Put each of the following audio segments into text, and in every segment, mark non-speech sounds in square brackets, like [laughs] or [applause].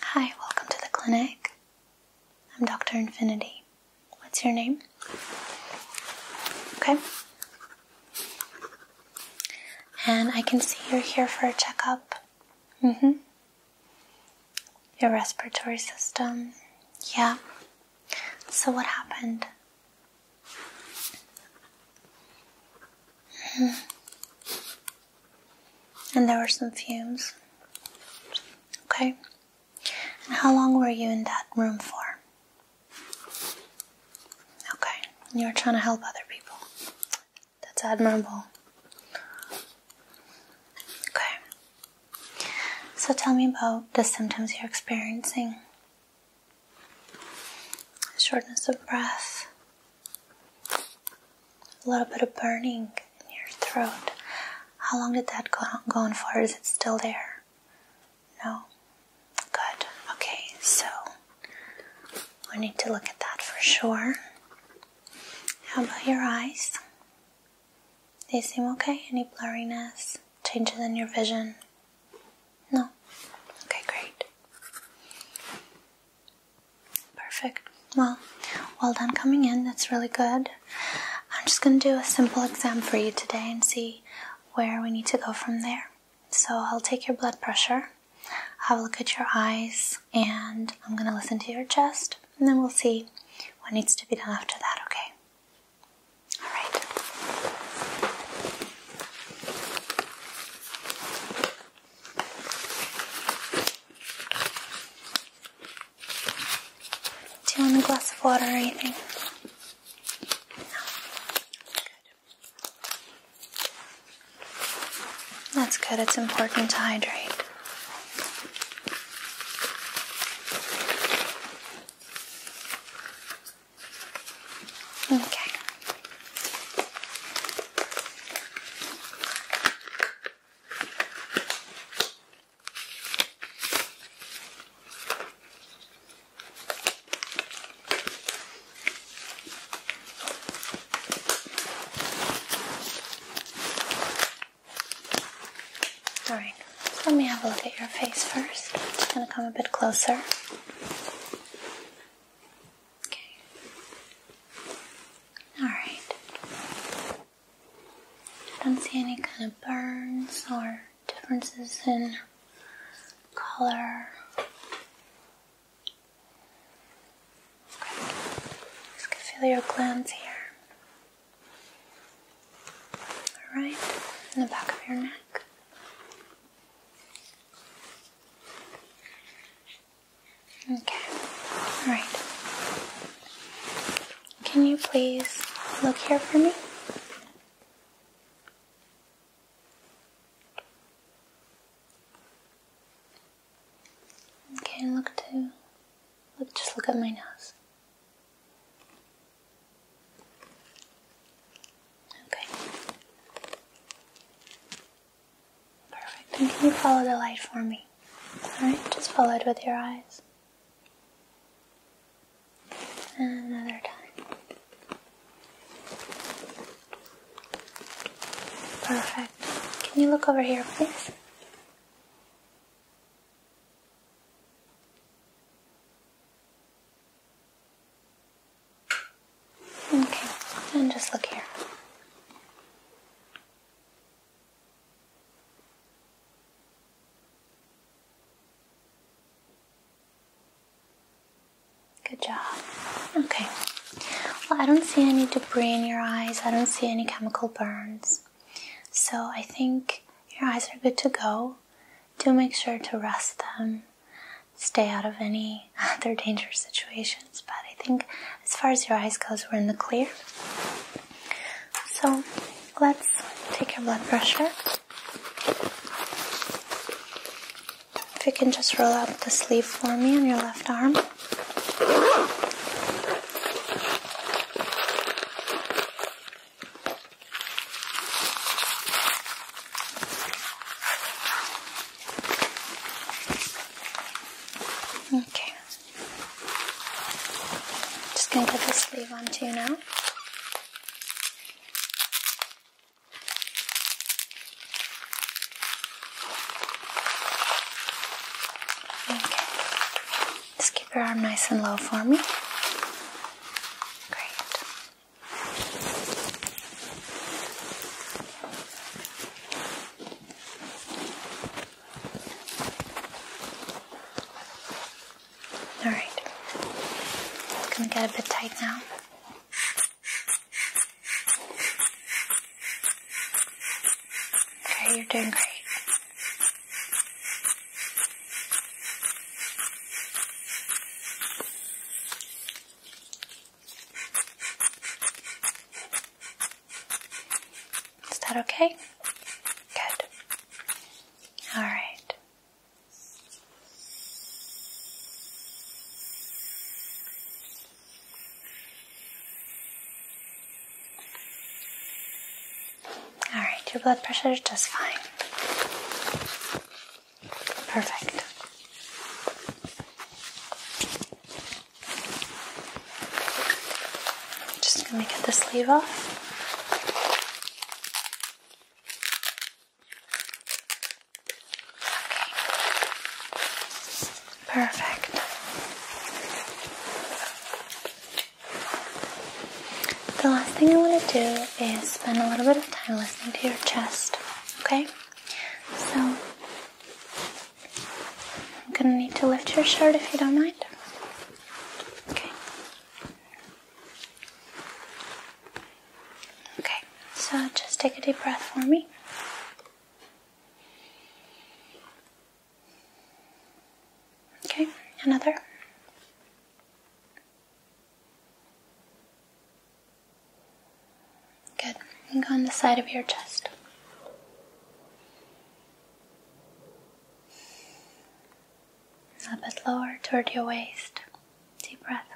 Hi, welcome to the clinic. I'm Dr. Infinity. What's your name? Okay. And I can see you're here for a checkup. Mm hmm. Your respiratory system. Yeah. So, what happened? Mm-hmm. And there were some fumes. Okay. how long were you in that room for? Okay. You were trying to help other people. That's admirable. Okay. So tell me about the symptoms you're experiencing shortness of breath, a little bit of burning in your throat. How long did that go on, for? Is it still there? No? Good. Okay, so we need to look at that for sure. How about your eyes? They seem okay? Any blurriness? Changes in your vision? No? Okay, great. Perfect. Well, well done coming in. That's really good. I'm just going to do a simple exam for you today and see where we need to go from there. So I'll take your blood pressure, have a look at your eyes, and I'm going to listen to your chest, and then we'll see what needs to be done after that, okay? All right. Do you want a glass of water or anything? That's good. It's important to hydrate. Okay. All right, let me have a look at your face first. I'm just going to come a bit closer. Okay. Alright. I don't see any kind of burns or differences in color. Okay. Just feel your glands here. Alright, in the back of your neck. Okay, alright. Can you please look here for me? Okay, look to look just look at my nose. Okay. Perfect. can you follow the light for me? Alright, just follow it with your eyes. And another time. Perfect. Can you look over here, please? Okay, and just look here. Good job. Okay. Well, I don't see any debris in your eyes. I don't see any chemical burns. So I think your eyes are good to go. Do make sure to rest them stay out of any [laughs] other dangerous situations. But I think as far as your eyes goes, we're in the clear. So let's take your blood pressure. If you can just roll up the sleeve for me on your left arm. Okay. Just going to put this sleeve on too now. Okay. Just keep your arm nice and low for me. Great. All right. It's going to get a bit tight now. Okay, you're doing great. Is that okay? Good. All right. All right, your blood pressure is just fine. Perfect. just gonna get the sleeve off. Perfect. The last thing I want to do is spend a little bit of time listening to your chest, okay? So, I'm gonna need to lift your shirt if you don't mind. Okay. Okay, so just take a deep breath for me. Okay, another. Good. And go on the side of your chest. A bit lower toward your waist. Deep breath.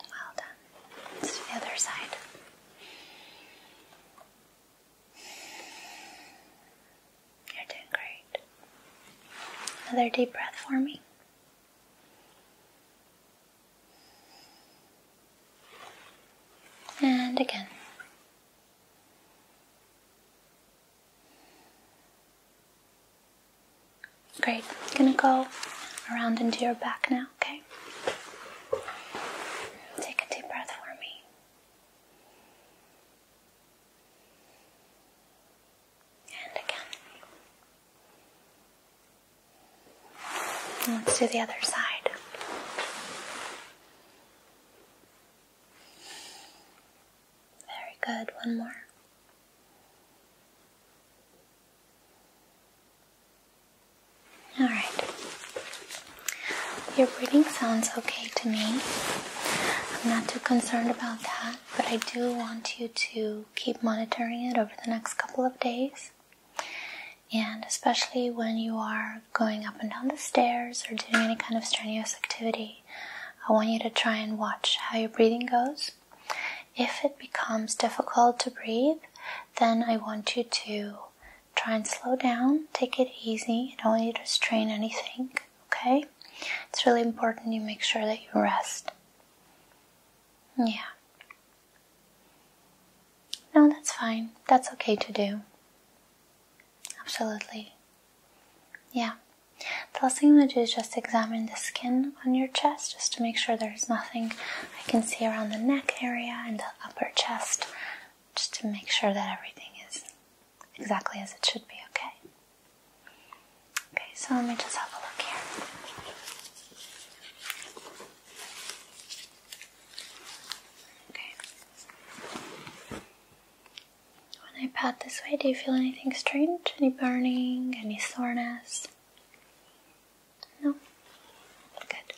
Well done. It's the other side. You're doing great. Another deep breath for me. And again. Great. gonna go around into your back now, okay? Take a deep breath for me. And again. Let's do the other side. Very good. One more. Alright. Your breathing sounds okay to me. I'm not too concerned about that, but I do want you to keep monitoring it over the next couple of days. And especially when you are going up and down the stairs or doing any kind of strenuous activity, I want you to try and watch how your breathing goes. If it becomes difficult to breathe, then I want you to Try and slow down, take it easy. don't need to strain anything, okay? It's really important you make sure that you rest. Yeah. No, that's fine. That's okay to do. Absolutely. Yeah. The last thing I'm going to do is just examine the skin on your chest just to make sure there's nothing I can see around the neck area and the upper chest just to make sure that everything is exactly as it should be, okay? Okay, so let me just have a look here. Okay. When I pat this way, do you feel anything strange? Any burning? Any soreness? No? Good.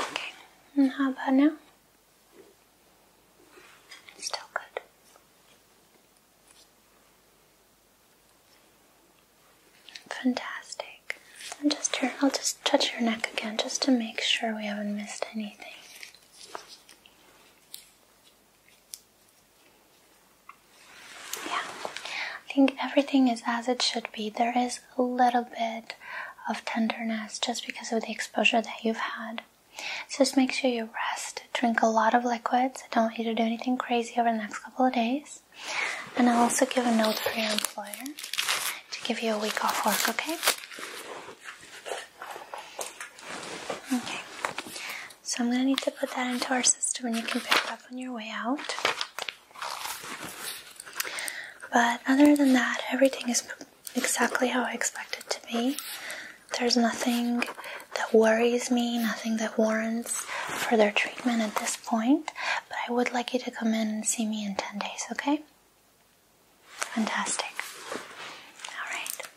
Okay, how about now? Still good. Fantastic. I'll just touch your neck again just to make sure we haven't missed anything. Yeah, I think everything is as it should be. There is a little bit of tenderness just because of the exposure that you've had. just make sure you rest, drink a lot of liquids. don't want you to do anything crazy over the next couple of days. And I'll also give a note for your employer to give you a week off work, okay? Okay, so I'm going to need to put that into our system and you can pick it up on your way out. But other than that, everything is exactly how I expect it to be. There's nothing that worries me, nothing that warrants further treatment at this point. But I would like you to come in and see me in 10 days, okay? Fantastic. Alright,